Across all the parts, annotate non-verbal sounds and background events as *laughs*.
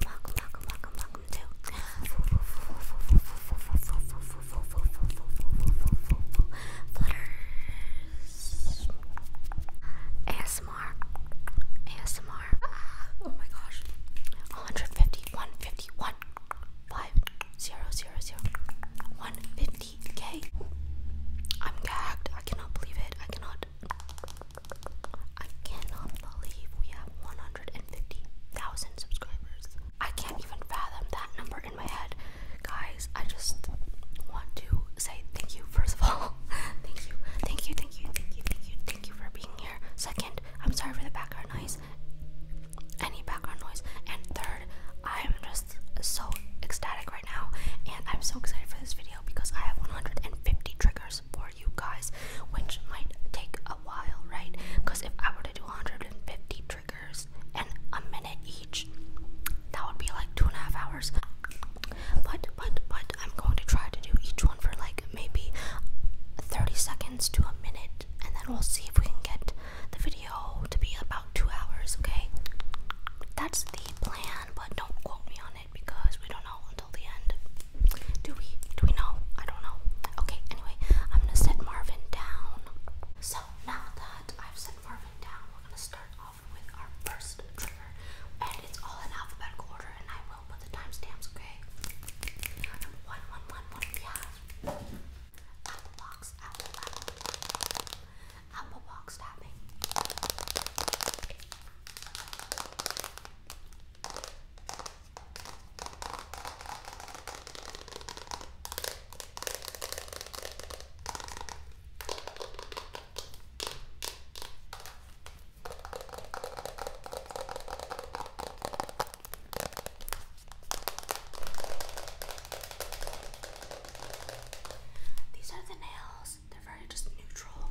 Welcome, welcome, welcome, welcome to Flutters ASMR ASMR Oh my gosh 150 150 1 5 0 0 0 150k I'm gagged I cannot believe it I cannot I cannot believe we have 150,000 subscribers. I can't even fathom that number in my head. Guys, I just want to say thank you, first of all. *laughs* thank you, thank you, thank you, thank you, thank you, thank you for being here. Second, I'm sorry for the background noise, any background noise. And third, I'm just so ecstatic right now, and I'm so excited for this video because I have 150 triggers for you guys, which might take a while, right? Because if I were to do 150 triggers and a minute each, that would be like two and a half hours. But but but I'm going to try to do each one for like maybe 30 seconds to a minute, and then we'll see if we can get the video to be about two hours. Okay, that's the plan, but don't quote me on it because we don't know. Do we? Do we know? I don't know. Okay, anyway, I'm gonna set Marvin down. So now that I've set Marvin down, we're gonna start off with our first trigger. And it's all in alphabetical order, and I will put the timestamps, okay? one, one, one, one, we have Apple Box, Apple, Apple, Apple Box tapping. Apple these are the nails, they're very just neutral.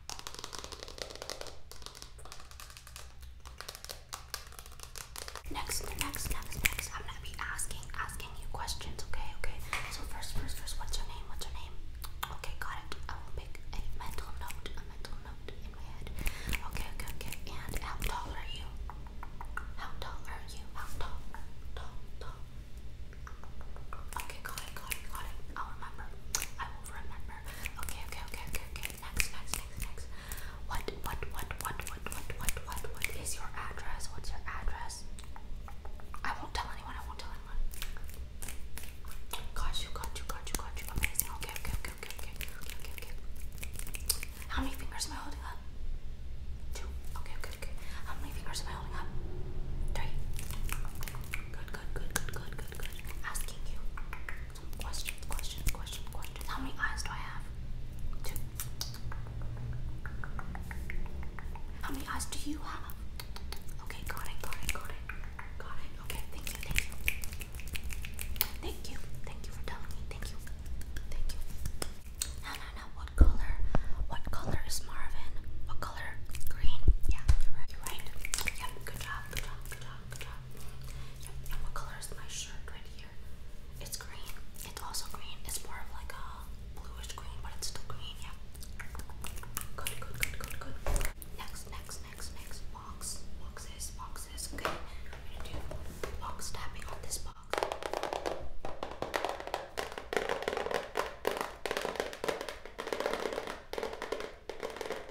Next, next, next, next. I'm gonna be asking, asking you questions. Okay, okay. So first, first, first. What's your name? What's your name? Okay, got it. I will make a mental note, a mental note in my head. Okay, okay, okay. And how tall are you? How tall are you? How tall? Tall, tall. Okay, got it, got it, got it. I'll remember. I will remember. Okay, okay, okay, okay okay, okay. Next, next, next, next. What, what, what, what, what, what, what, what, what is your address? What's your address? I won't tell anyone. I won't tell anyone. Got you, got you, got you, got you. Amazing. Okay, okay, okay, okay, okay, okay, okay. How many fingers am I holding up? Two. Okay, okay, okay. How many fingers am I holding up? Three. Good, good, good, good, good, good, good. Asking you. Question, question, question, question. How many eyes do I have? Two. How many eyes do you have? Okay, got it, got it, got it. Got it. Okay, thank you, thank you. Thank you. Thank you for telling me. Thank you. Thank you. No, no, no. What color? What color is Marvin? What color? Green. Yeah, you're right. You're right. Yep, good job, good job, good job, good job. Yep. And what color is my shirt right here? It's green. It's also green. It's more of like a bluish green, but it's still green. Yeah. Good, good, good, good, good. Next, next, next, next box. Boxes, boxes. Okay. I'm gonna do box tapping on this box.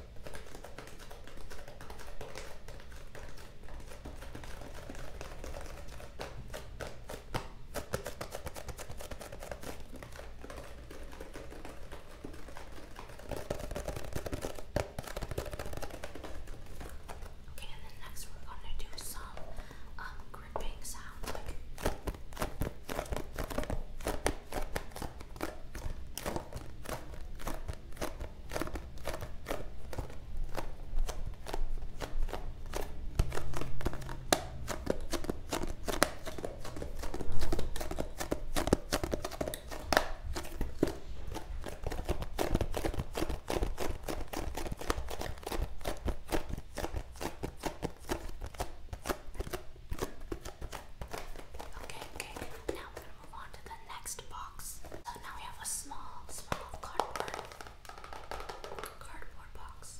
Okay, and then next we're gonna do some um, gripping sound. Like... Okay, okay. Now move on to the next box. So now we have a small, small cardboard cardboard box.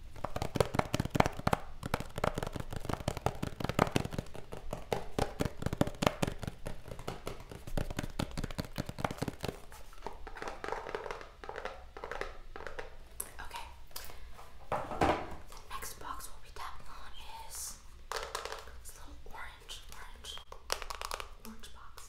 Okay. The next box we'll be tapping on is this little orange, orange, orange box.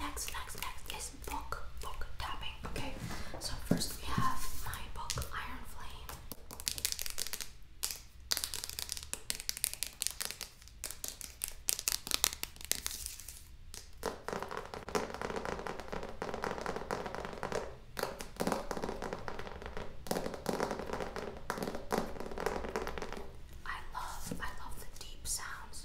Next, next, next is book, book tapping. Okay, so first we have my book, Iron Flame. I love, I love the deep sounds.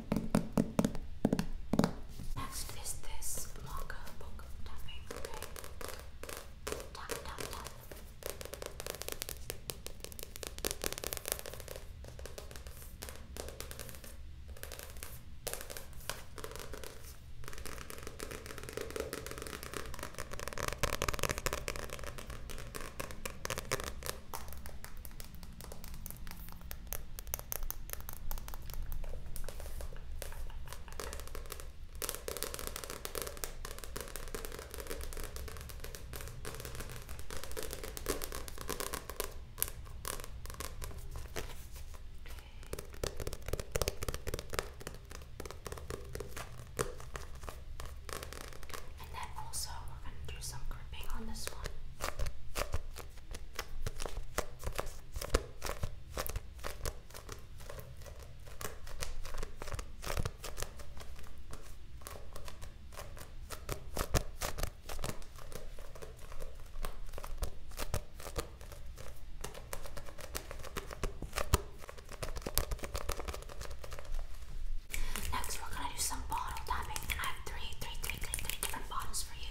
Next is this marker book tapping, okay? Tap, tap, tap. Okay, and then also, we're going to do some gripping on this one. Next, we're gonna do some bottle tapping, I have three, three, three, three, three different bottles for you.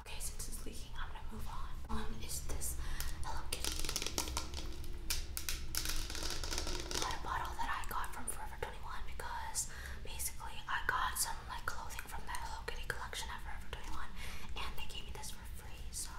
Okay, since it's leaking, I'm gonna move on. Um, is this Hello Kitty water bottle that I got from Forever 21 because basically I got some like clothing from that Hello Kitty collection at Forever 21 and they gave me this for free so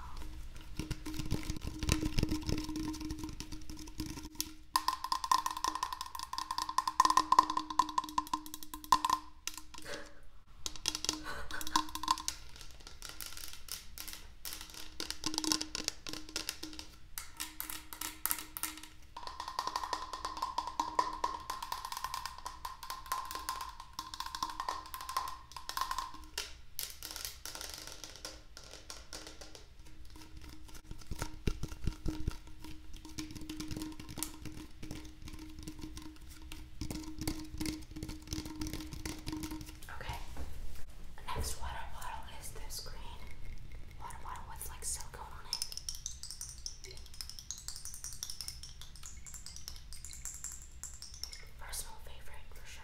Okay. Next water bottle is this green water bottle with like silicone on it. Personal favorite for sure.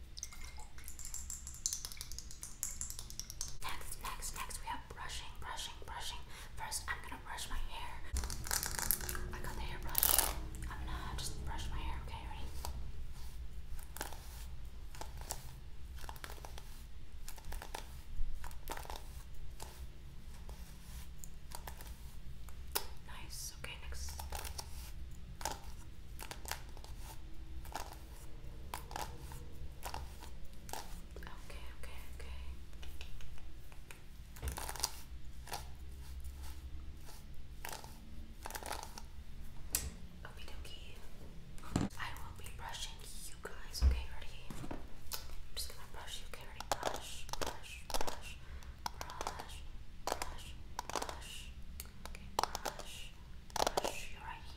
Next, next, next, we have brushing, brushing, brushing. First, I'm gonna brush my hair. I got the hairbrush. I'm gonna just brush my hair, okay? Ready? Nice, okay, next. Okay, okay, okay. Okie dokie. I will be brushing you guys. Okay, ready? I'm just gonna brush you. Okay, ready? Brush, brush, brush, brush, brush, brush. Okay, brush, brush. You're right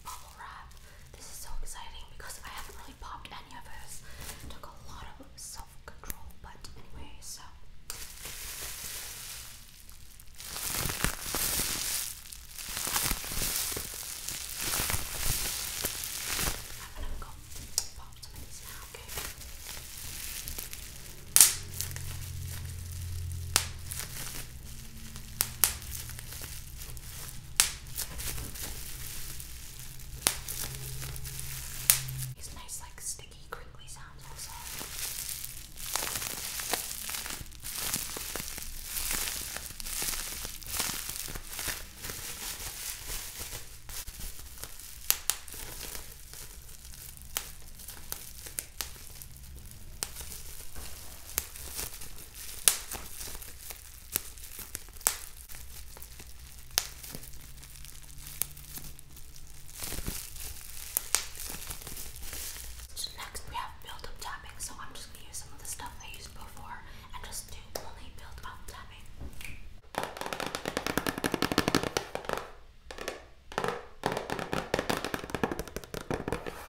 bubble wrap. This is so exciting because I haven't really popped any of this. took a lot of self-control, but anyway, so I'm gonna pop some of these now, Okay, these nice like sticky crinkly sounds also. So next we have build up tapping. So I'm just gonna use some of the stuff I used before and just do only build up tapping. Okay,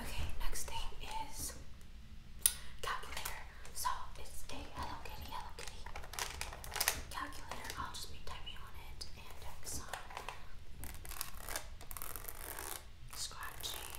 Okay, next thing is calculator. So it's a Hello Kitty, Hello Kitty calculator. I'll just be typing on it and Exxon scratching.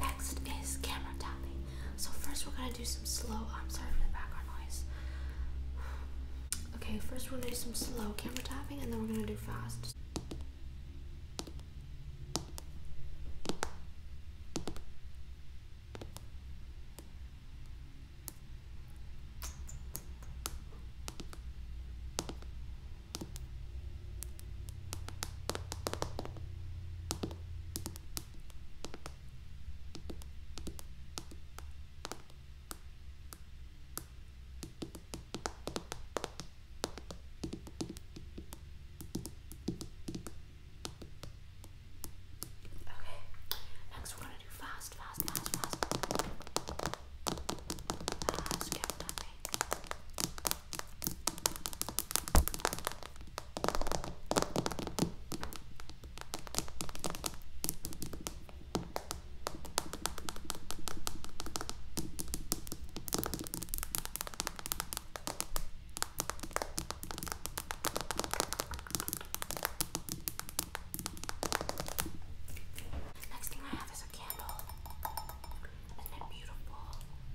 Next is camera tapping. So first we're gonna do some slow. Oh, I'm sorry for the background noise. *sighs* Okay, first we're gonna do some slow camera tapping, and then we're gonna do fast. Okay, next we're gonna do fast, fast, fast, fast. Fast, careful, happy. Okay, Next thing I have is a candle. Isn't it beautiful?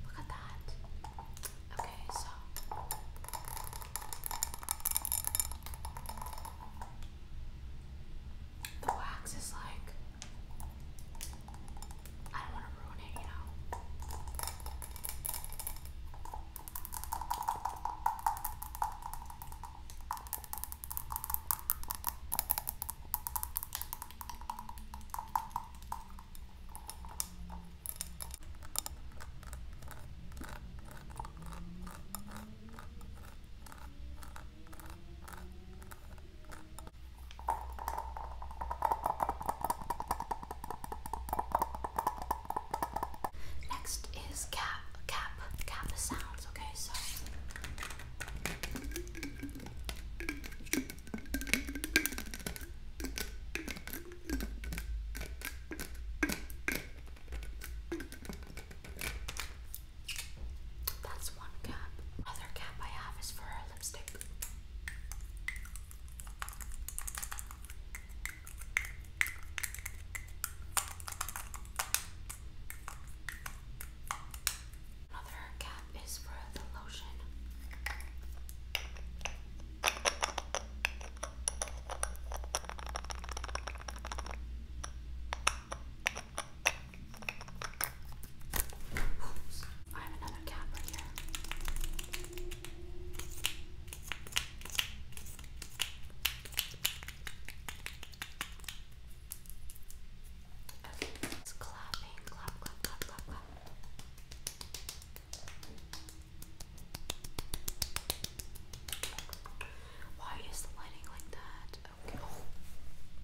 Look at that. Okay, so the wax is like I don't want to ruin it, you know. Next is cap, cap, cap sounds. Okay, so. That's one cap. Other cap I have is for her lipstick. Another cap is for the lotion. I have another cap here. Why is the lighting like that?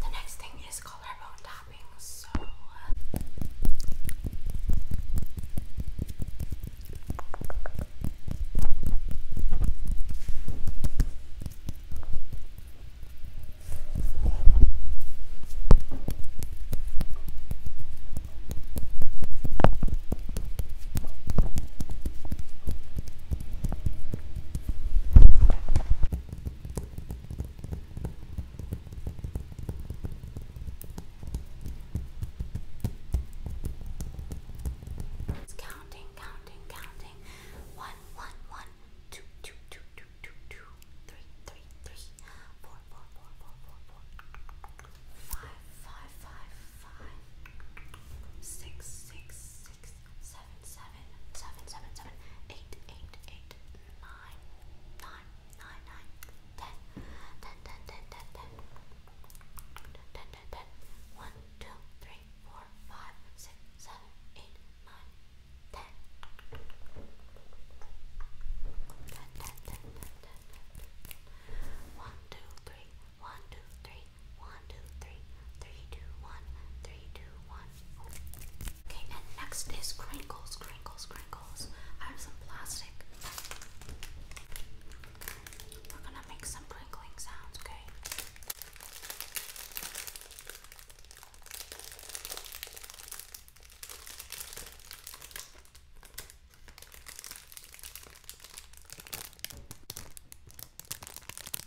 The next thing is collarbone tapping. So it's counting, counting, counting. One, one, one, two, two, two, two, two, two, three, three, three, four, four, four, four, four, four, five, five, five, five, six, six, six, seven, seven, seven, seven, seven, eight, eight, eight, nine, nine, nine, nine, ten, ten, ten, ten, ten, ten, ten, ten, ten, one, two, three, four, five, six, seven, eight, nine, ten, ten, ten, ten, ten, ten, ten, one, two, three, one, two, three, one one, two, three, three, two, one, three, two, one. Okay, and next is crinkles, crinkles, crinkles. I have some plastic. We're gonna make some crinkling sounds, Okay,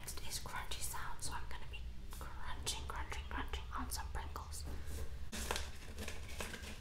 Next is crunchy sound, so I'm gonna be crunching, crunching, crunching on some Pringles.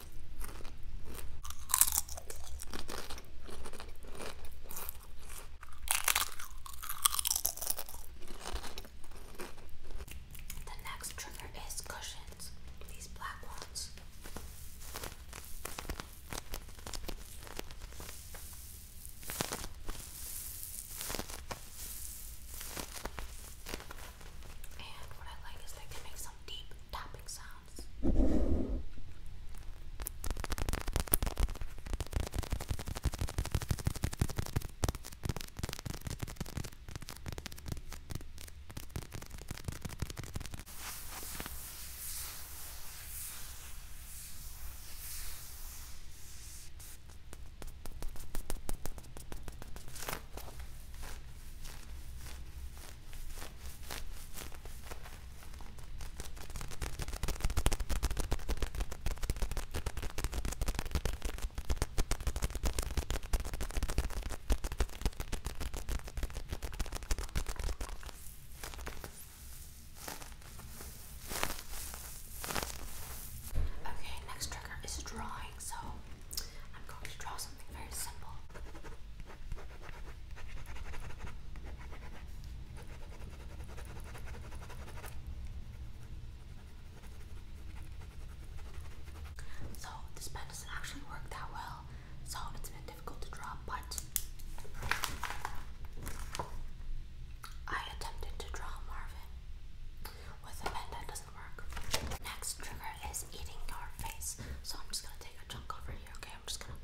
The next trigger is cushions, these black ones. And what I like is they can make some deep tapping sounds. Okay, next trigger is drawing so I'm going to draw something very simple. So this pen doesn't actually work that well, so it's been difficult to draw, but I attempted to draw Marvin with a pen that Next trigger is eating your face. So I'm just gonna take a chunk over here, okay? I'm just gonna.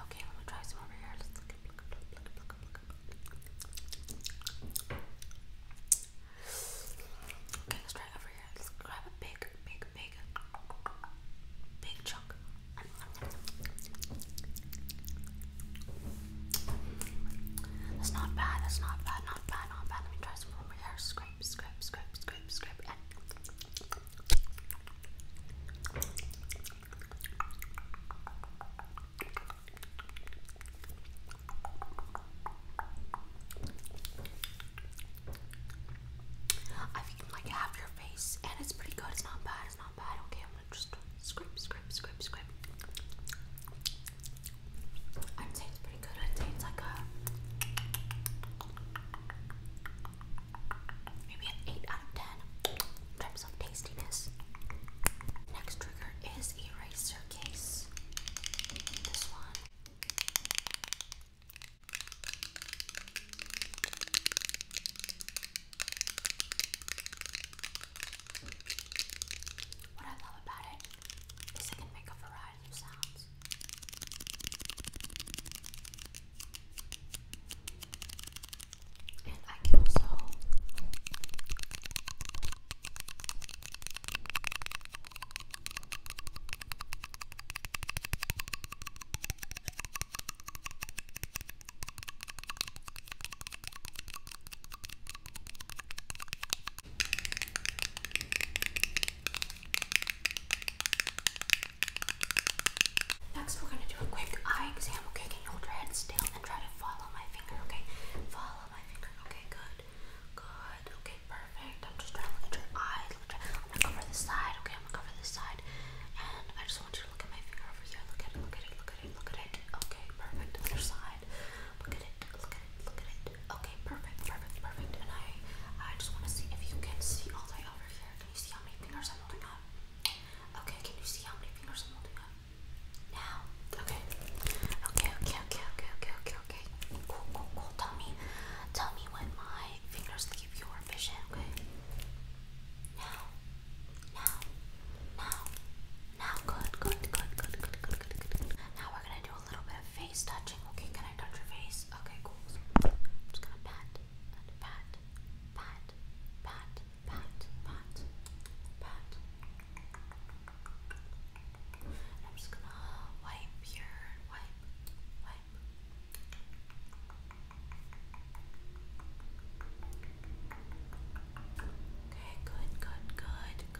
Okay, let me try some over here. Let's look at look at look at look at look Okay, let's try over here. Let's grab a big, big, big, big chunk. That's not bad, that's not bad, not bad, not bad. Let me try some more hair. Scrape, scrape, scrape, scrape, scrape, I've like half your face and it's pretty good. It's not bad. It's not bad. Okay, I'm gonna just scrape, scrape, scrape, scrape. I'd pretty good. I'd like a maybe an 8 out of 10 in of tastiness. Next trigger is eraser case. This one. What I love about it is it can make a variety of sounds. And I can also Next, we're gonna do a quick eye exam. Okay, can you hold your head still and try to follow my finger? Okay, follow my finger. Okay, good, good. Okay, perfect. I'm just trying to look at your eyes. Look at your, I'm gonna cover this side. Okay, I'm gonna cover this side, and I just want you to look at my finger over here. Look at it. Look at it. Look at it. Look at it. Okay, perfect. Other side. Look at it. Look at Look at it. Okay, perfect, perfect, perfect. And I, I just want to see if you can see all the way over here. Can you see how many fingers I'm holding up? Okay, can you see how many fingers I'm holding up? Now, okay. Okay, okay, okay, okay, okay, okay, okay. Cool, cool, cool. Tell me, tell me when my fingers leave your vision, okay? Now, now, now, now, good, good, good, good, good, good, good, Now we're gonna do a little bit of face touching. Okay, can I touch your face? Okay, cool. I'm just gonna pat, pat, pat, pat, pat, pat, pat. I'm just gonna wipe here, wipe, wipe. Okay, good, good, good,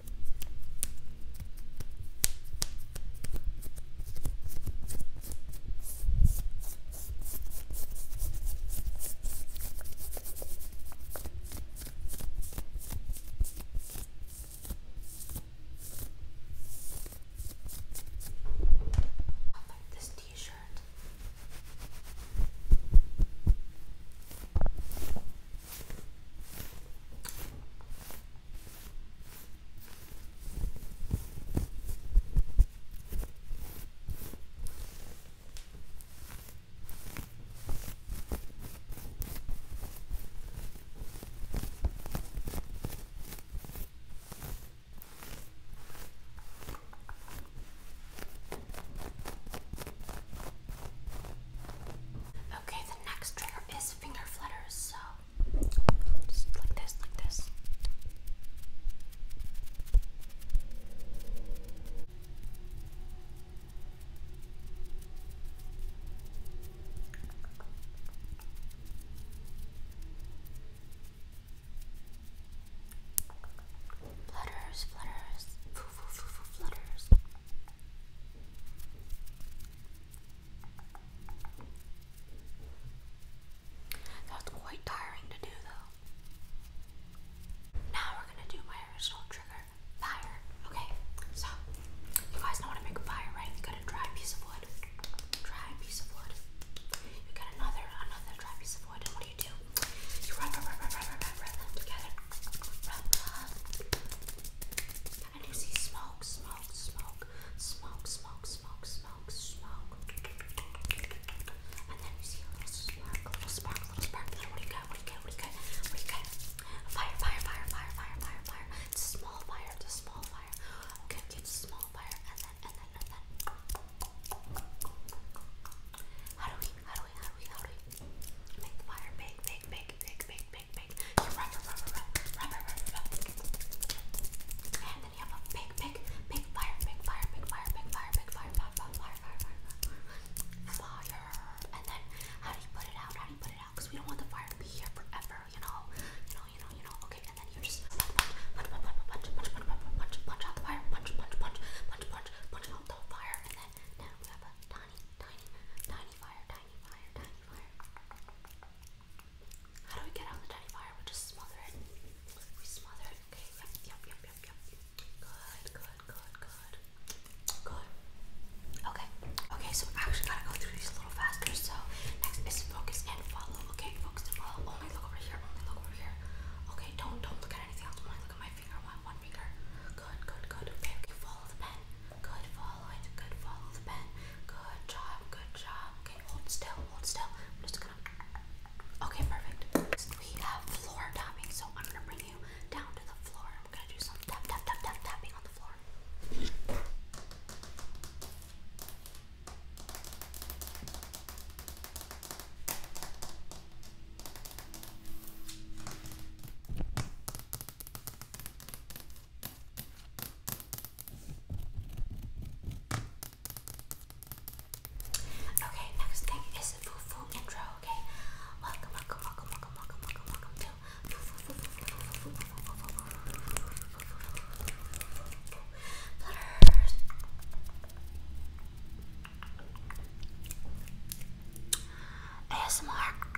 I like this t shirt. I Okay, the next trigger is finger flutters, so just like this, like this. Flutters, flutters, foo, foo, foo, foo, flutters. That's quite tiring to do though. Now we're gonna do my original trigger, fire. Okay, so you guys know how to make a fire, right? You got a dry piece of wood, dry piece of wood. You got another, another dry piece of wood, and what do you do? You rub, rub, rub, rub, rub, rub, them together, and you see smoke, smoke smoke, smoke, smoke, smoke, smoke, smoke, smoke. And then you see a little spark, a little spark, a little spark. Then what do you got? What do you got? What do you got? What do you got? Fire, fire, fire, fire, fire, fire, fire. It's a small fire, it's a small fire. Okay, okay, it's a small fire. And then, and then, and then. How do we, how do we, how do we, how do we make the fire big, big, big, big, big, big, big. You rub, rub, rub, rub, rub, rub, rub, rub. And then you have a big, big, big fire, big fire, big fire, big fire, big fire, fire, fire, fire, fire, fire, fire. And then how do you put it out? How do you put it out? Because we don't want the fire to be here forever, you know? You know, you know, you know. Okay, and then you just punch, punch, punch, punch, punch, punch, punch, punch, punch out the fire, punch, punch, punch, punch, punch, punch out the fire, and then now we have a tiny, tiny, tiny fire, tiny fire, tiny fire. How do we get out the tiny fire? We just smother it. We smother it. Okay, yep, yep, yep, yep, yep. Good, good, good, good. Good. Okay. Okay, so I actually gotta go through these a little faster. So next is focus and follow. Okay, focus and follow. Only look over here, only look over here. Okay, don't don't look at anything else. Only look at my finger, one one finger. Good, good, good. Okay, you follow the pen. Good, follow Good, follow the pen. Good job, good job. Okay, hold still, hold still. I'm just gonna. Okay, perfect. we have floor tapping, so I'm gonna bring you down to the floor. I'm gonna do some tap, tap, tap, tap, tapping on the floor. Okay, next thing is the Fufu intro, okay? Welcome, welcome, welcome, welcome, welcome, welcome, welcome to Fufu Flutters. ASMR.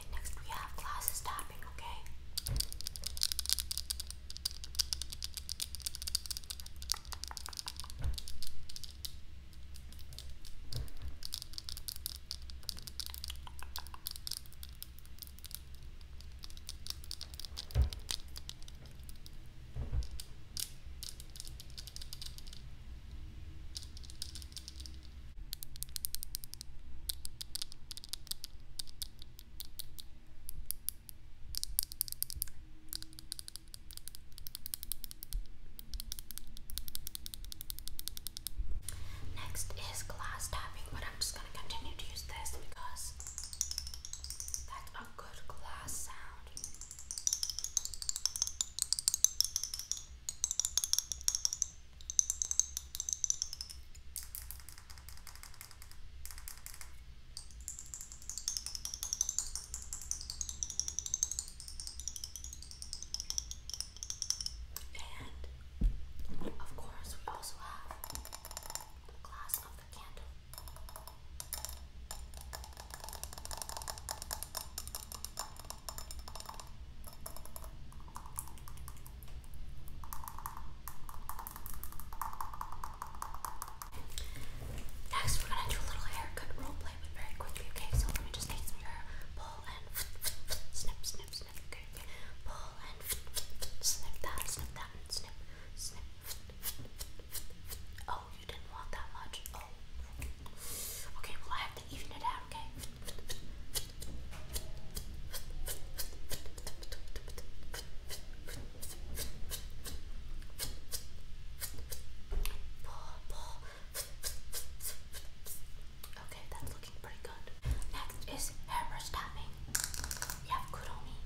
Okay, next we have glasses tapping, Okay, Next is glass tapping, but I'm just gonna continue to use this because that's a good glass sound. And of course, we also have the glass of the candle. Next, we're gonna do a little haircut role but very quickly, okay? So let me just take some hair, pull and snip, snip, snip, okay? okay. Pull and snip that, snip that, and snip, snip. Oh, you didn't want that much. Oh. Okay, well, I have to even it out, okay? Okay, that's looking pretty good. Next is hairbrush tapping. You have Kuromi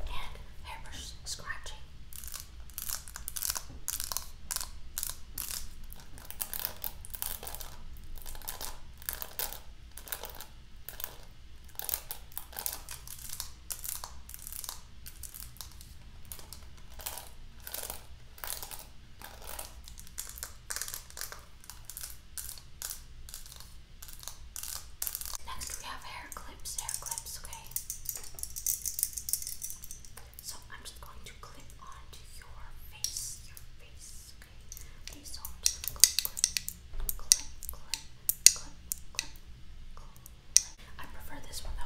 and hairbrush scratching. Okay. Next we have hair clips, hair clips, okay? So I'm just going to clip onto your face, your face. They sold I prefer this one though,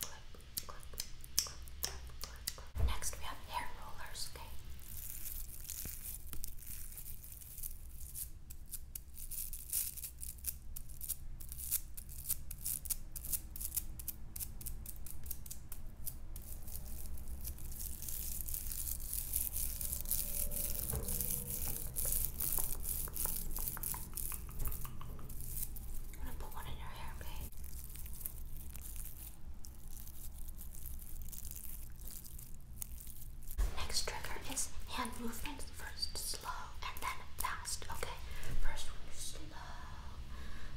clip, clip, clip, clip, clip, clip. Next we have hair rollers, okay? Okay, I'm gonna put one in your hair, okay? Next trigger is hand movements. First slow and then fast, okay? First one slow,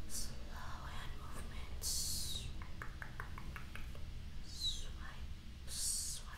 slow hand movements. Swipe, swipe.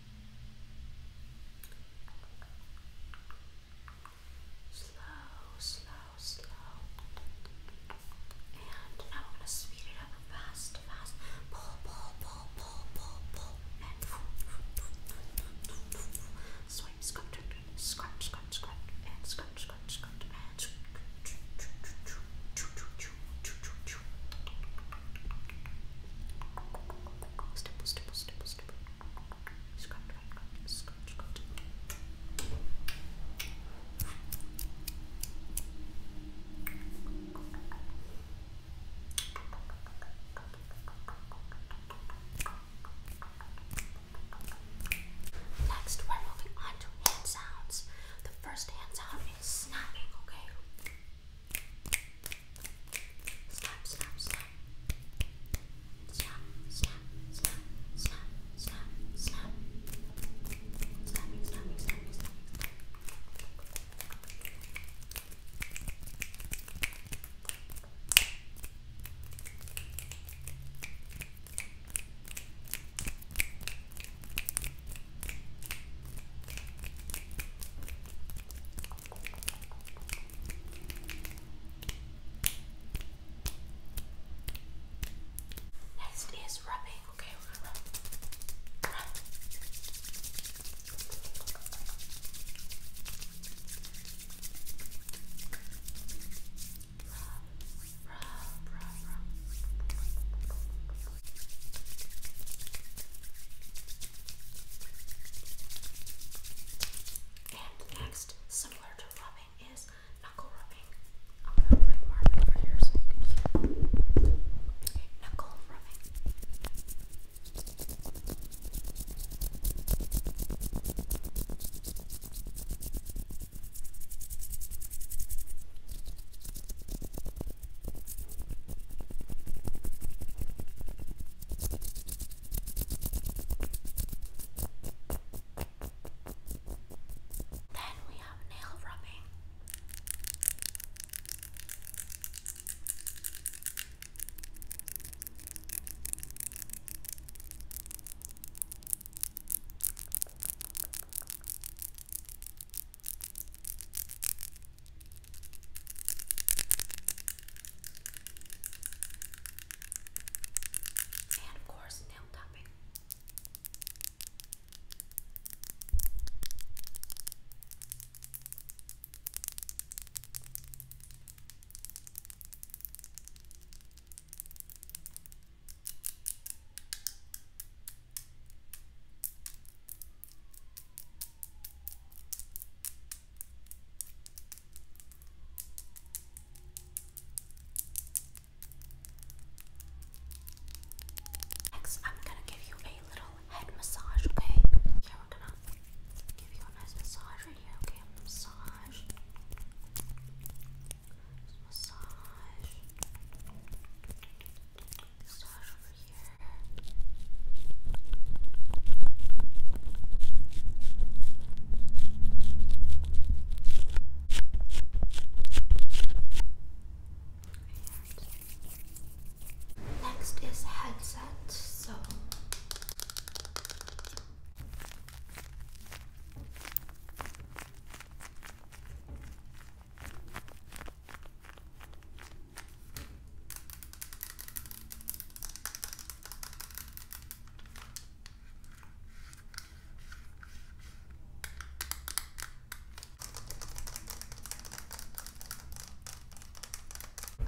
Slow, slow, slow. And now I'm going to speed it up fast, fast. Pull, pull, pull, pull, pull, pull. And swipe, scrunch, scrunch, scrunch, scrunch. And scrunch, scrunch, scrunch. And Next, we're moving on to hand sounds. The first hand sound is snapping, okay? Slap, slap, slap. Slap, slap, slap, slap, slap, slap. Slapping, slapping, slapping, slapping. Slap, Next is rubbing. Okay, we're gonna rub. rub. Rub, rub, rub, rub. And next, similar to rubbing, is knuckle rubbing. I'm gonna bring Marvin over here so you can hear. Okay, knuckle rubbing. Okay, then we have nail rubbing. And of course, nail tapping. Next, I'm gonna give you a little head massage, okay? Here, we're gonna give you a nice massage right here, okay? Massage. Just massage. Massage over Next is headset, so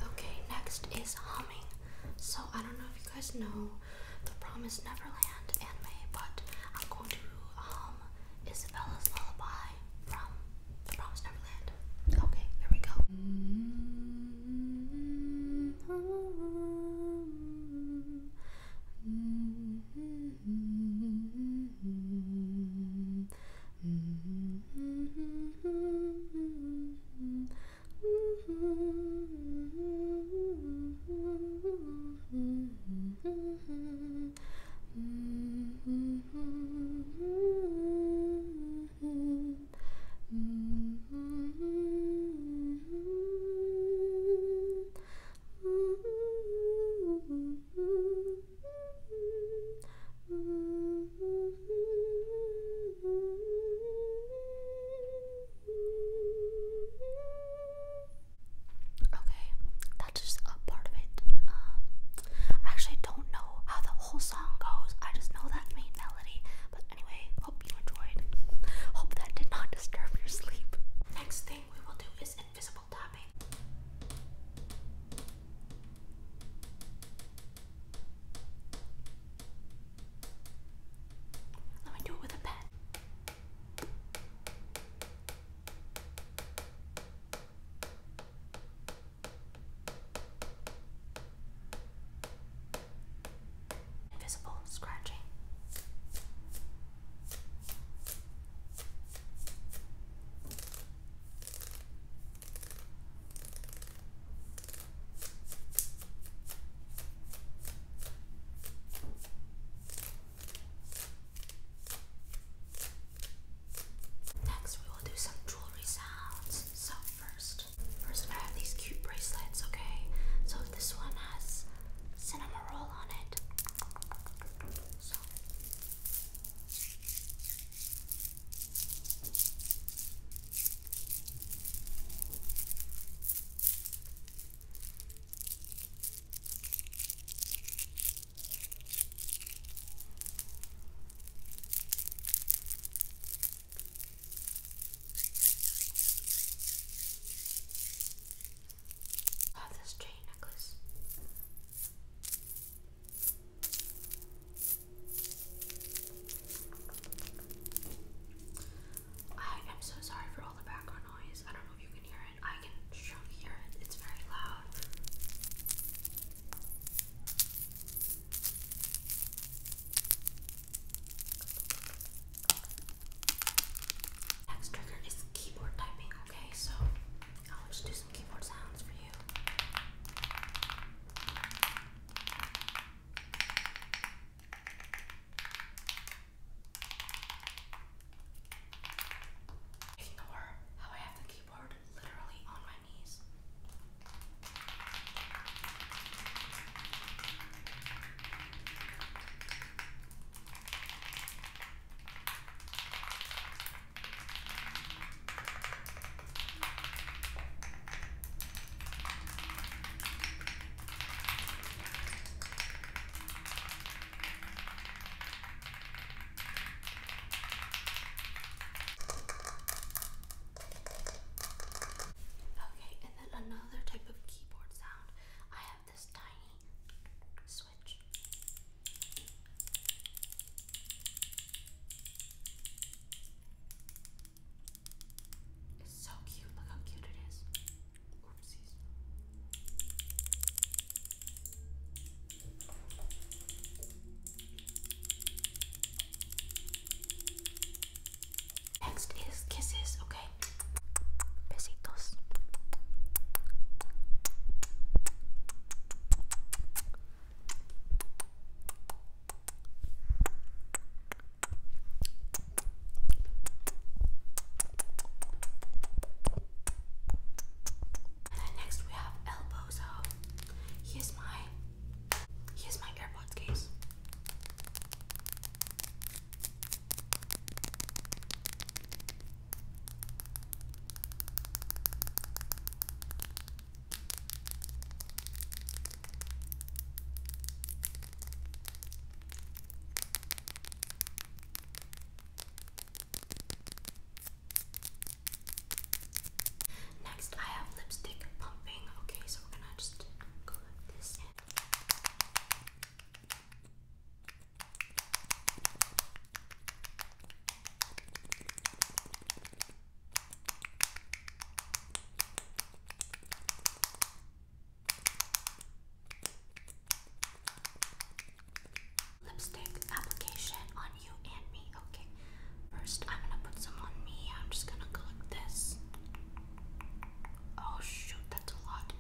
Okay, next is humming. So I don't know if you guys know the Promise Neverland anime, but I'm going to hum Isabella's Lullaby from the Promised Neverland. Okay, there we go. *laughs* Okay, that's just a part of it. Um, I actually don't know how the whole song goes. I just know that main melody. But anyway, hope you enjoyed. Hope that did not disturb your sleep. Next thing we will do is invisible tapping. Let me do it with a pen. Invisible scratching. Next, we will do some jewelry sounds. So, first, First, I have these cute bracelets, okay? So this one has cinnamon roll on it. So. Oh, this chain necklace. I am so sorry for all the background noise. I don't know if you can hear it. I can sure hear it. It's very loud. Next trigger is keyboard typing, okay? So I'll just do some keyboard sounds for you. Ignore how I have the keyboard literally on my knees. Okay, and then another type of keyboard sound. I have this tiny switch. It's so cute. Look how cute it is. Oopsies. Next is kisses, okay? Besitos. And then next we have elbow. So here's my here's my ear AirPods case. Next, I have lipstick pumping. Okay, so we're gonna just go like this. Lipstick application on you and me. Okay, first I'm gonna put some on me. I'm just gonna go this. Oh shoot, that's a lot.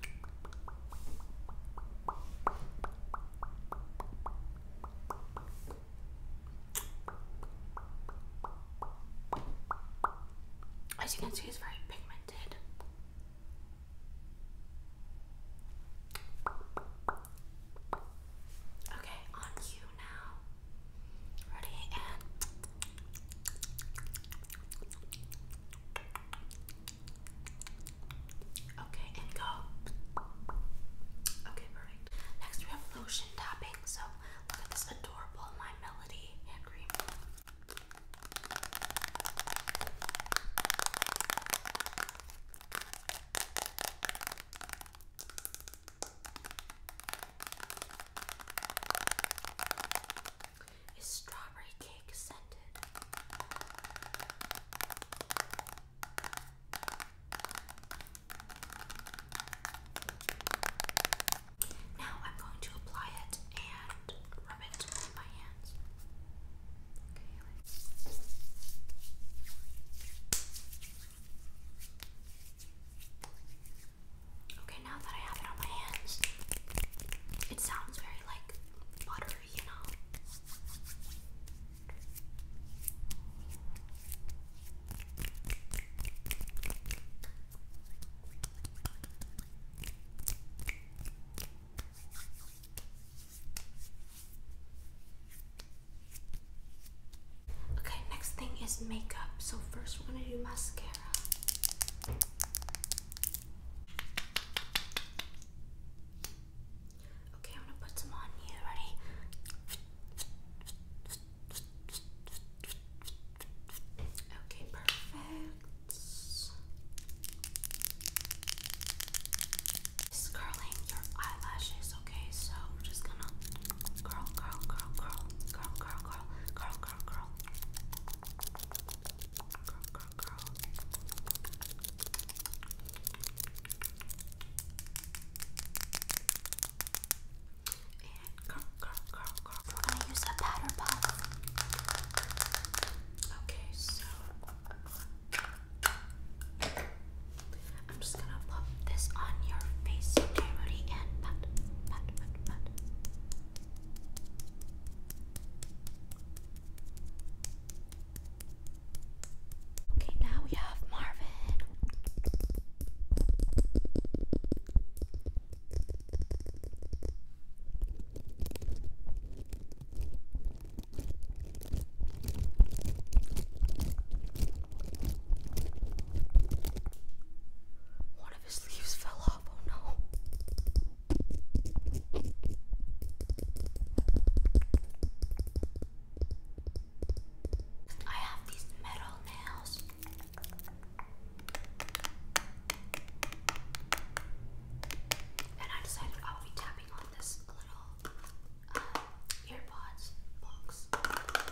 As you can see, it's very pigmented. Okay, on you now. Ready okay, and go. Okay, perfect. Next we have lotion topping. So look at this adorable My Melody hand cream. Is strawberry cake scented? Now I'm going to apply it and rub it with my hands. Okay, Okay, now that I have it on my hands, it sounds very like buttery, you know. Okay, Okay, next thing is makeup. So, first we're gonna do mascara. Okay, I'm gonna put some on you. Ready? Okay, perfect. curling your eyelashes, okay? So just gonna Curl, curl, curl, curl, curl, curl, curl, curl, curl, curl. Curl, curl, curl. And curl, curl, curl, curl. We're gonna use a powder puff. Okay, so I'm just gonna pop this on your face, okay, And pat, pat, pat, pat. Okay, now we have Marvin. One of his leaves fell off. Oh no. I have these metal nails. And I decided I will be tapping on this little um, box.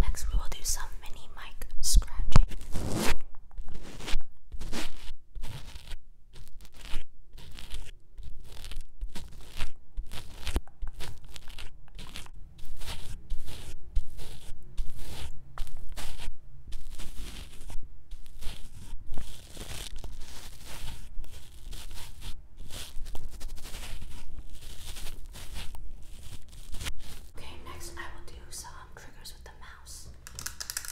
Next, we will do some mini mic scratching. Okay, next I will do some triggers with the mouse. Okay,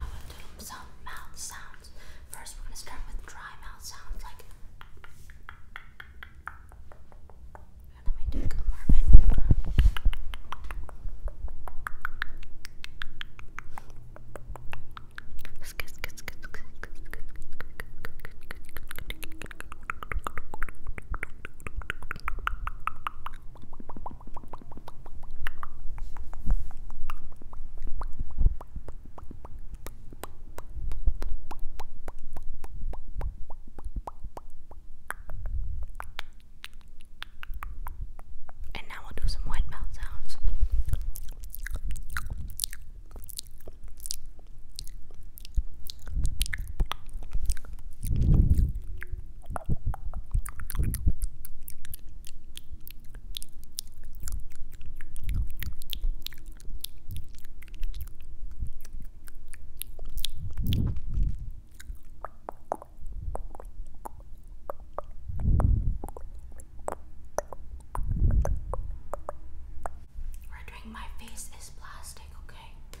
I'm gonna do some mouth sounds. First, we're gonna start with dry mouth sounds, like. Let me take a Marvin. And now we'll do some wet mouth sounds. We're doing my face is plastic, okay?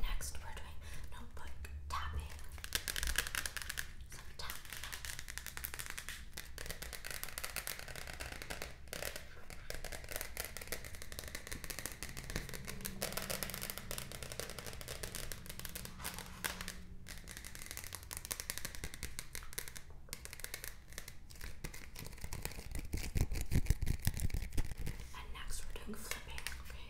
Next, we're doing notebook tapping. Some tapping. And next we're doing flipping, okay?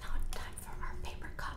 Now time for our paper cup.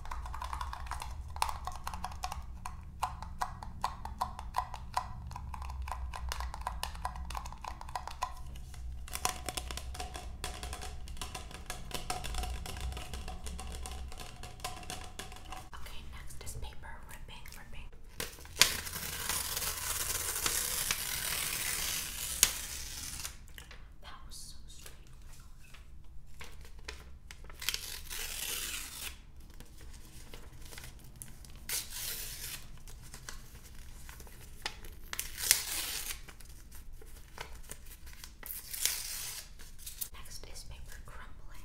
Okay, next is paper ripping, ripping. That was so strange. Next is paper crumbling.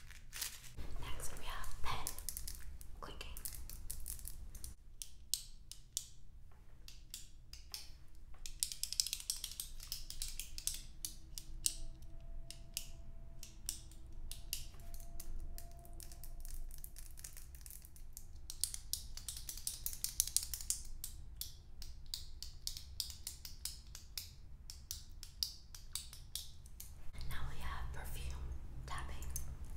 Next we have pen clicking. Next now we have perfume tapping. Now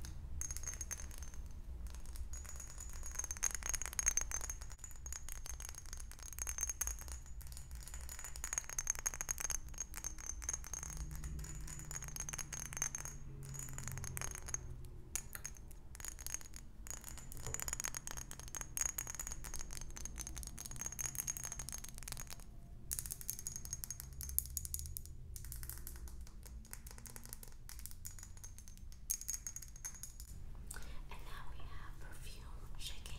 and now we have perfume shaking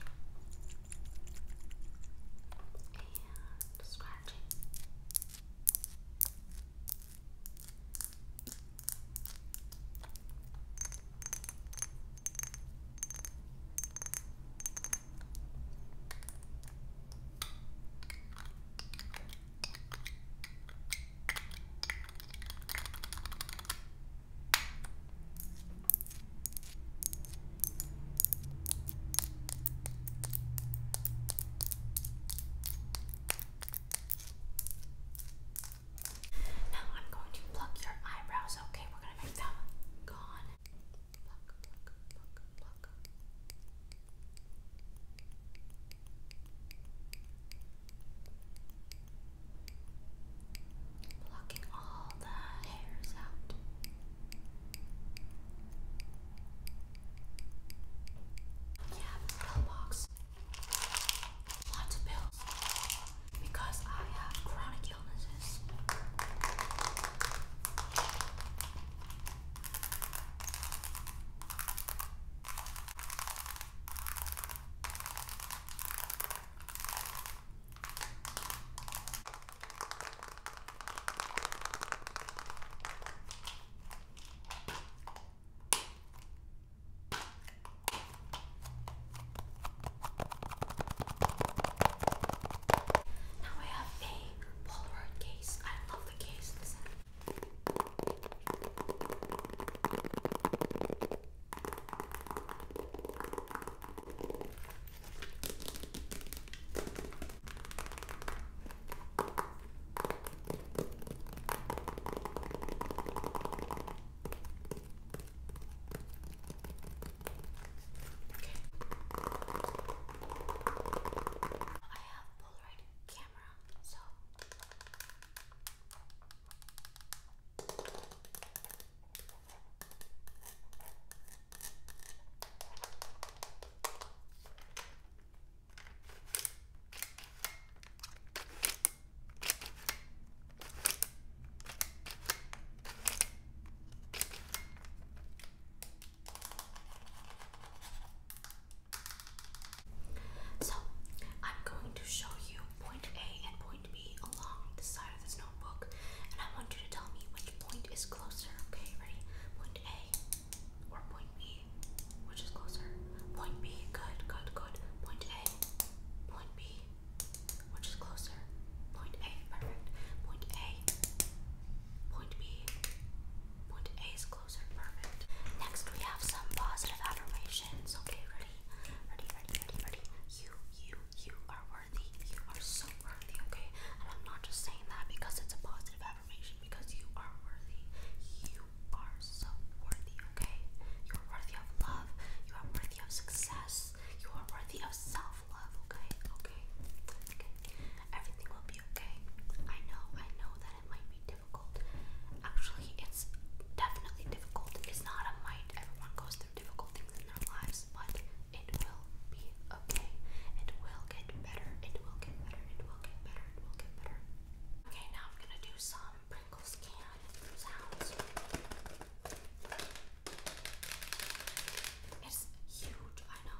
and scratching. And now I'm going to pluck your eyebrows, okay? We're going to make them gone pluck, all the hairs out. Yeah, pill box. Lots of pills because I have chronic illnesses. Now we have a Polaroid case. I love the case. Okay have Polaroid camera, so so, I'm going to show you point A and point B along the side of this notebook, and I want you to tell me which point is closer. Okay, ready? Point A or point B? Which is closer? Point B. Good, good, good. Point A. Point B. Which is closer? Point A. Perfect. Point A. Point B. Put A is closer. Perfect. Next, we have some positive affirmations. Okay, ready? Ready, ready, ready, ready. You, you, you are worthy. You are so worthy, okay? And I'm not just saying that because it's a positive affirmation, because you are worthy. You are so worthy, okay? You are worthy of love. You are worthy of success. You are worthy of self love, okay? okay. Okay. Everything will be okay. I know, I know that it might be difficult. Actually, it's definitely difficult. It's not a might. Everyone goes through difficult things in their lives, but it will be okay. It will get better. It will get better. It will get better. It will get better. Okay, now I'm gonna do some Pringles can sounds. It's huge, I know.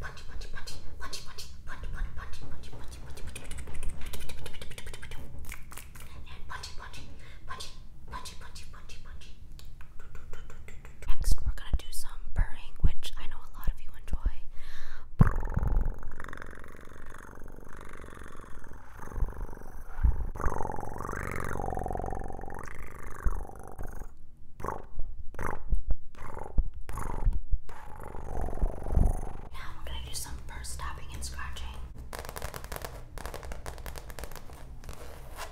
punch, Next, we're gonna do some purring, which I know a lot of you enjoy. Now I'm gonna do some first tapping and scratching. Okay,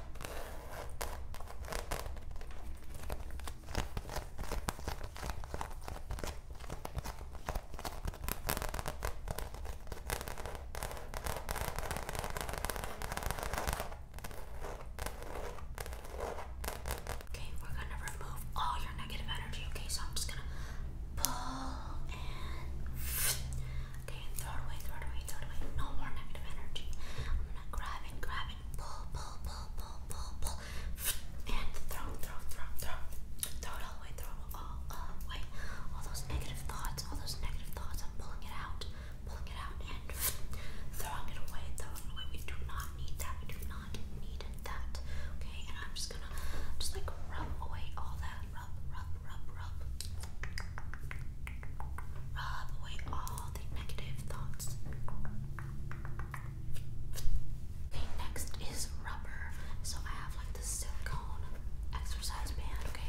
Okay, we're gonna remove all your negative energy. Okay, so I'm just gonna pull and okay, and throw it away, throw it away, throw it away. No more negative energy. I'm gonna grab it, grab it, pull, pull, pull, pull, pull, pull, and throw, throw, throw, throw, throw it all the way, throw it all away. All those negative thoughts, all those negative thoughts. I'm pulling it out, pulling it out, and throwing it away, throwing it away. We do not need that. We do not that. Okay, and I'm just gonna just like rub away all that. Rub, rub, rub, rub. Rub away all the negative thoughts. Okay, next is rubber. So I have like the silicone exercise band, okay?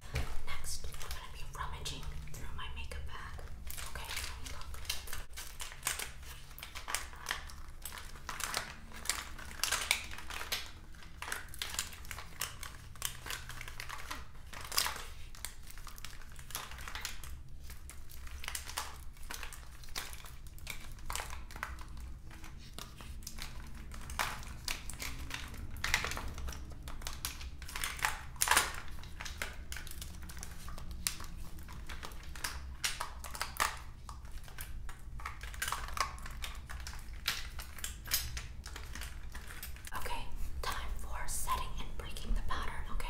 Next, I'm gonna be rummaging through my makeup bag. Okay, let me look. Okay, Okay, time for setting and breaking the pattern, okay?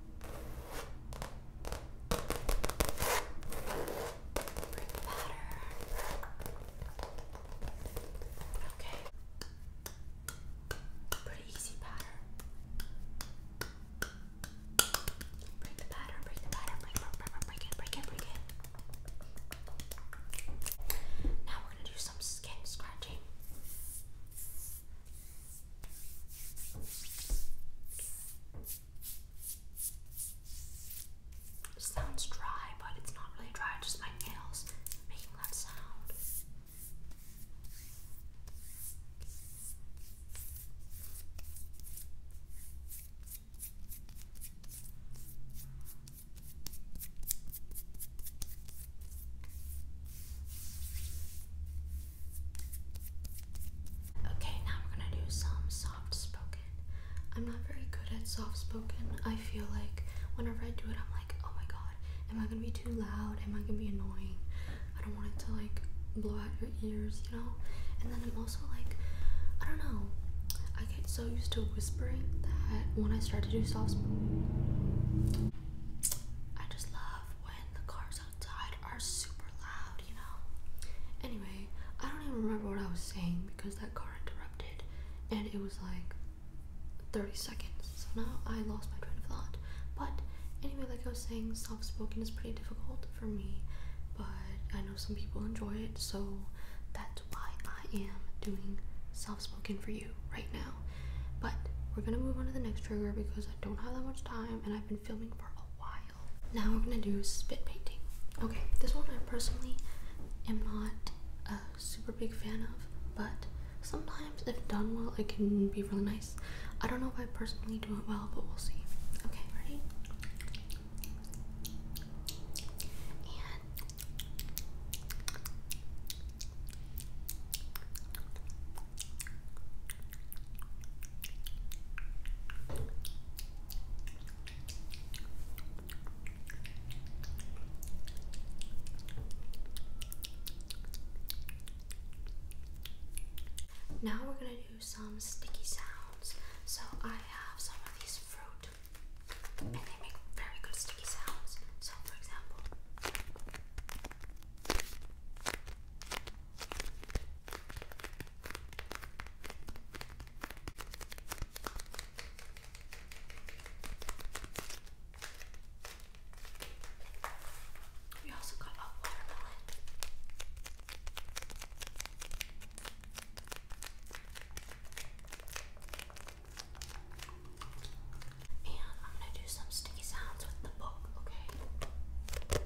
Okay. Pretty easy pattern. Break the pattern, break the pattern, break, break, break, break it, break it, break it. Now we're gonna do some skin scratching. Okay. It sounds dry, but it's not really dry, just my nails making that sound. Okay, now we're gonna do some soft spoken. I'm not very good at soft spoken. I feel like whenever I do it, I'm like, oh my god, am I gonna be too loud? Am I gonna be annoying? I don't want it to like blow out your ears, you know? And then I'm also like, I don't know, I get so used to whispering that when I start to do soft spoken, I just love when the cars outside are super loud you know. Anyway, I don't even remember what I was saying because that car interrupted and it was like 30 seconds. So now I lost my train of thought. But anyway, like I was saying, soft spoken is pretty difficult for me, but I know some people enjoy it, so that's why I am doing soft spoken for you right now. But we're gonna move on to the next trigger because I don't have that much time and I've been filming for a while. Now we're gonna do spit painting. Okay, this one I personally am not a super big fan of, but sometimes if done well, it can be really nice. I don't know if I personally do it well, but we'll see. Okay, ready? Now we're going to do some sticky sounds. So I have some of these fruit and they make very good sticky sounds. So, for example, we also got a watermelon. And I'm gonna do some sticky sounds with the book, okay?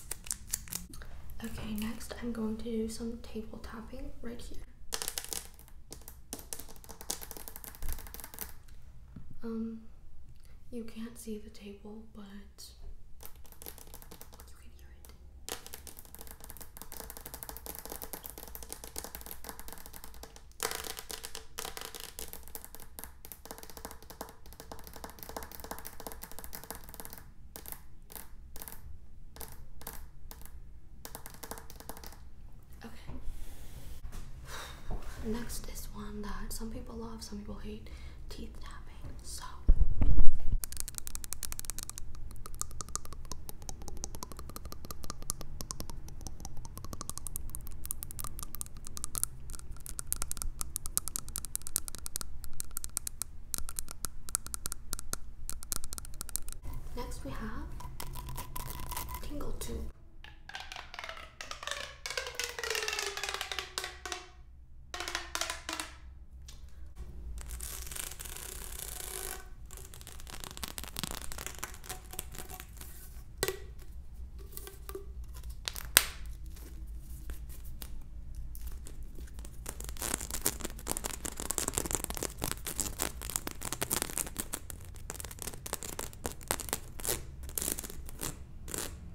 Okay, next I'm going to do some table tapping right here. Um, you can't see the table, but you can hear it. Okay. Next is one that some people love, some people hate teeth tapping. So. Next we have tingle tube.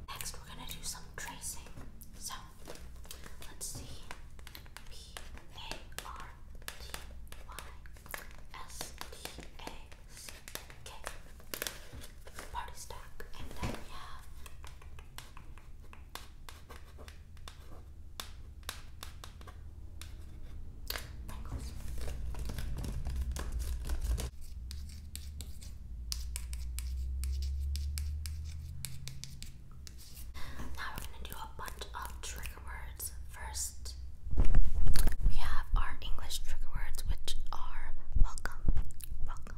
Next, we're going to do some tracing. So let's see. P A R T Y S T A C K. Party stack. And then we have Tangles. Now we're going to do a bunch of trigger words. First, we have our English trigger words, which are welcome, welcome,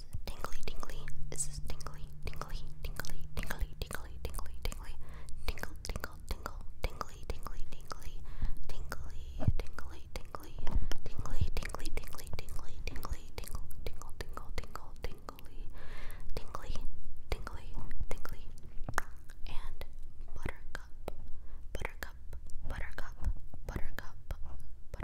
is it tingly, tingly? Is this tingly, tingly, tingly, tingly, tingly, tingly, tingly, tingle, tingle, tingle, tingly, tingly, tingly, tingly, tingly, tingly, tingly, tingly, tingly, tingly, tingly, tingle, tingle, tingle, tingle, tingly, tingly, tingly, tingly, and buttercup, buttercup, buttercup, buttercup, buttercup,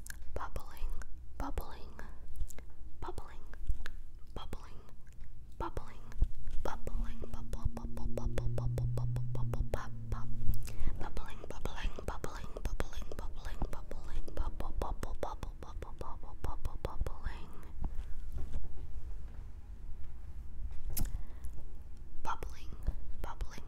bubbling, bubbling, bubbling, bubbling, bubbling, bubbling, bubble, bubble, bubble, bubble, bubble, bubble, bubbling, bubbling, bubbling, bubbling, bubbling, bubbling, bubble, bubble, bubble, bubble, bubble, bubble, bubbling. Bubbling, bubbling,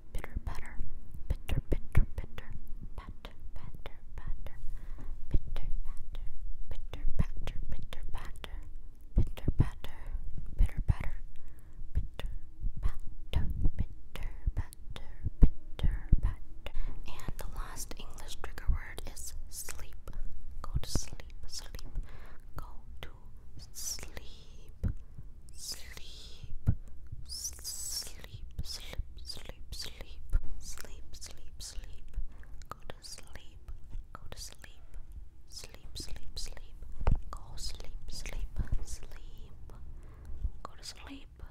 bitter batter, bitter, bitter, bitter, batter, batter, batter, bitter batter, bitter batter, bitter batter, bitter batter, bitter batter, bitter batter, bitter batter, bitter batter. And the last English trigger word is sleep. Go to sleep, sleep, go to sleep. Sleep, sleep, sleep, sleep, sleep, sleep, sleep, sleep, sleep, go to sleep, go to sleep, sleep, sleep, sleep, go sleep, sleep, sleep, go to sleep, go to sleep,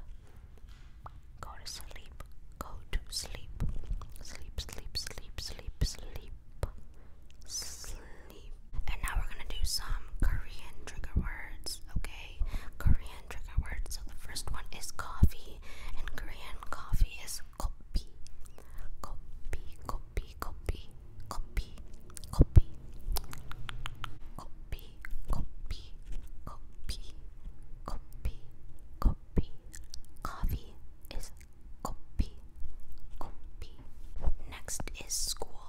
go to sleep, sleep, sleep, sleep, sleep, sleep, sleep leave. And now we're gonna do some Korean trigger words, okay? Korean trigger words. So the first one is coffee. In Korean, coffee is kopi. Kopi, kopi, kopi, kopi, kopi, kopi, kopi, kopi, kopi, kopi. Coffee is kopi, kopi. Next is school.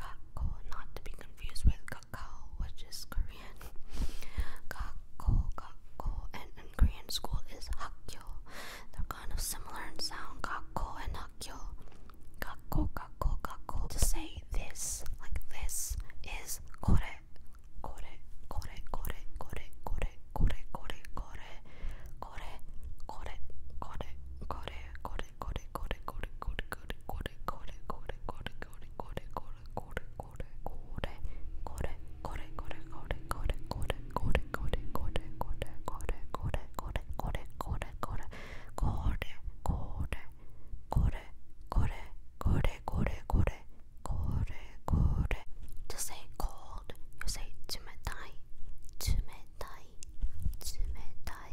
Kakko, not to be confused with kakao, which is Korean. Kakko, kakko, and in Korean school is hakyo. They're kind of similar in sound, kakko and hakyo. Kakko, kakko, kakko. To say this, like this, is kore. Kore, kore, kore, kore, kore, kore, kore, kore, kore, kore, kore, kore, kore, to say cold, you say tsumetai, tsumetai, tsumetai,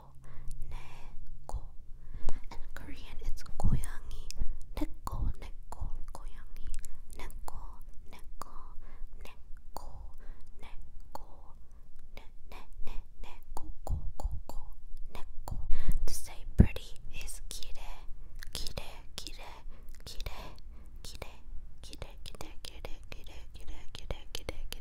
neko. In Korean, it's goyangi, neko, neko, goyangi, neko, neko, neko, neko, ne, ne, ne, neko, ko, ko, ko, neko. To say pretty is kire, kire, kire, kire, kire, kire, kire, kire, kire, kire, kire, kire, kire.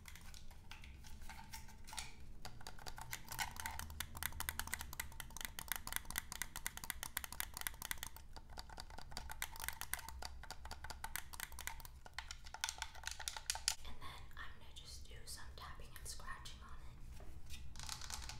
And then I'm going to just do some tapping and scratching on it. Okay.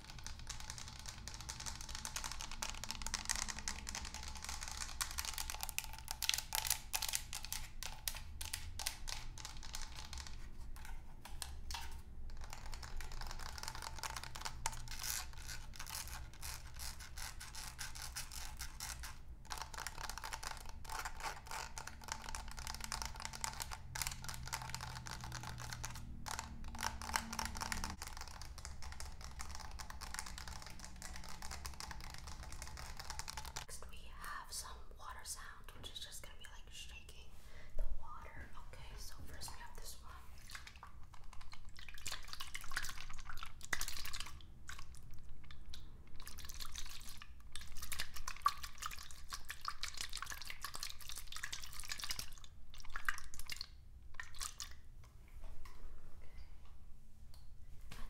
Next we have some water sound, which is just gonna be like shaking the water. Okay, so first we have this one.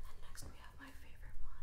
And then next we have my favorite one.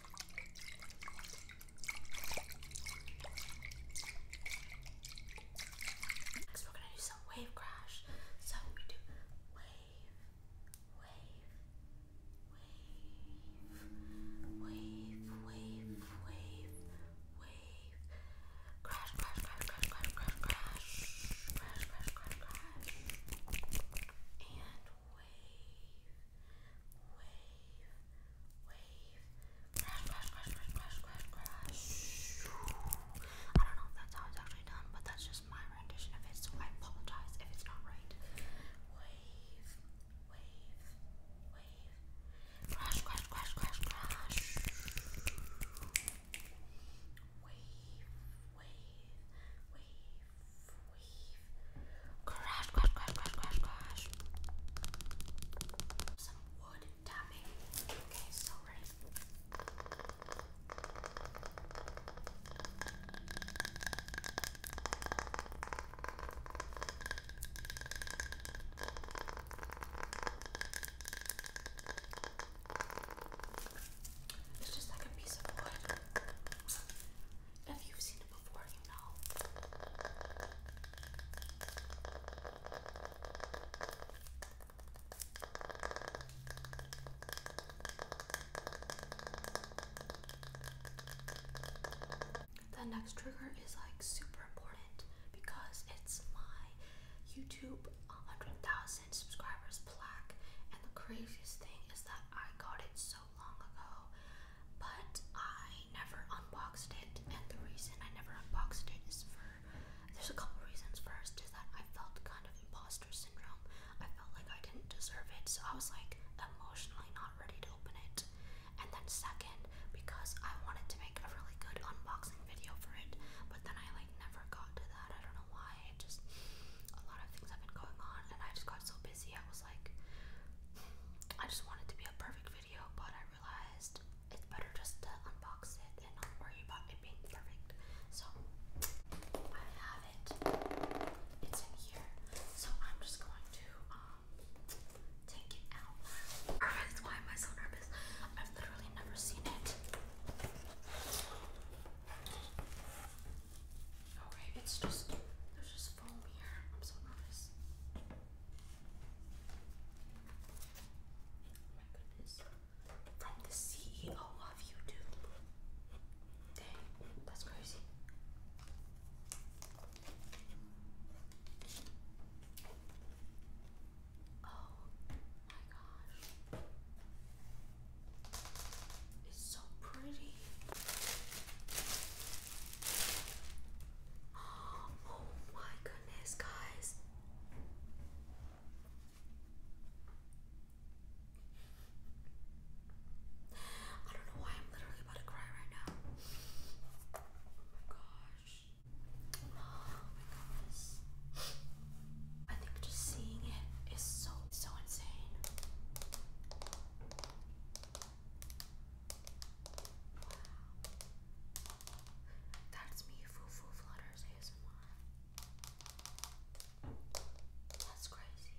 Next we're gonna do some wave crash. So we do wave, wave, wave, wave, wave, wave, wave, crash, crash, crash, crash, crash, crash, crash, crash, crash, crash, crash, and wave, crash, crash, crash, crash, crash, crash. I don't know if that's how it's actually done, but that's just my rendition of it, so I apologize if it's not right. Wave, wave, wave, crash, crash, crash, crash, crash. Wave, wave, wave, Crash, crash, crash, Some wood tapping. Okay, so It's just like a piece of wood. If you've seen it before, you know. The next trigger is like super important because it's my YouTube 100,000 subscribers plaque, and the craziest thing is that I got it so long ago, but I never unboxed it. And the reason I never unboxed it is for there's a couple reasons. First is that I felt kind of imposter syndrome. I felt like I didn't deserve it, so I was like emotionally not ready to open it. And then second, because I wanted to make a really good unboxing video for it, but then I like never got to that. I don't know why. just a lot of things have been going on, and I just got so busy. I was like like, I just wanted to be a perfect video, but I realized it's better just to unbox it and not worry about it being perfect. So I have it. It's in here. So I'm just going to um take it out. *laughs* why am I so nervous? I've literally never seen it. Okay, it's just there's just foam here. I'm so nervous. Oh my goodness. From the CEO of YouTube. Dang, that's crazy. Oh my gosh. It's so pretty. Oh my goodness, guys. I don't know why I'm literally about to cry right now. Oh my gosh. *gasps* Oh my goodness. I think just seeing it is so so insane. Wow. That's me, Foo Flutters ASMR. That's crazy.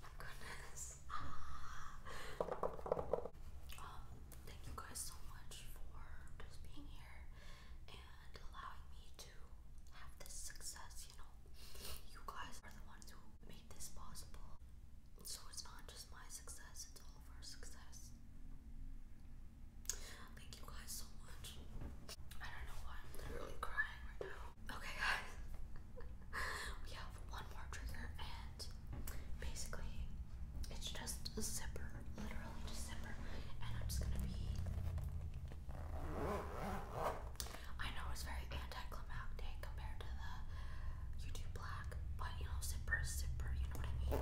My goodness. *laughs* Ah. um, thank you guys so much for just being here and allowing me to have this success, you know. You guys are the ones who made this possible. So it's not just my success, it's all of our success. Thank you guys so much. I don't know why I'm literally crying right now. Okay, guys. *laughs* we have one more trigger, and basically, it's just a zipper. Literally, just zipper. And I'm just gonna be. I know it's very anticlimactic compared to the YouTube Black, but you know, zipper is zipper, you know what I mean?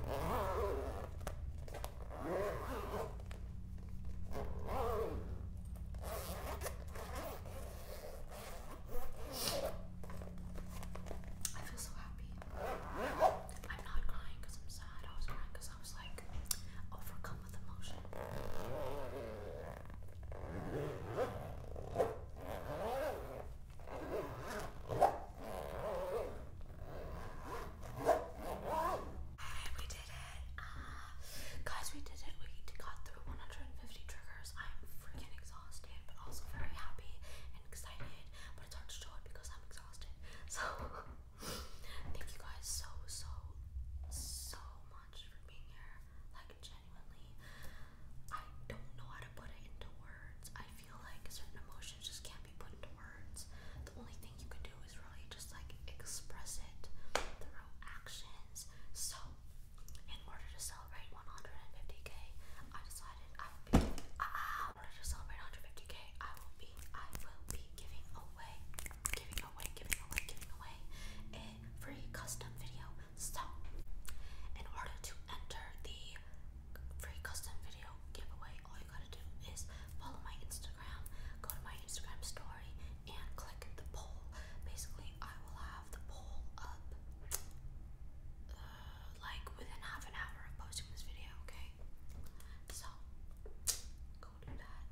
I feel so happy. I'm not crying I'm sad. I was crying I was like overcome with emotion we did it. Uh, guys, we did it. We got through 150 triggers. I'm freaking exhausted, but also very happy and excited. But it's hard to show it because I'm exhausted. *laughs* So, thank you guys so, so, so much much for being here. Like, genuinely, I don't know how to put it into words. I feel like certain emotions just can't be put into words. The only thing you can do is really just like express it through actions. So, in order to celebrate 150k, I decided I would be. Uh, in order to celebrate 150k, I will be. I will be giving away, giving away, giving away, giving away a free custom video so, in order to enter the free custom video giveaway, all you gotta do is follow my Instagram, go to my Instagram story, and click the poll. Basically, I will have the poll up uh, like within half an hour of posting this video, okay? So, go do that.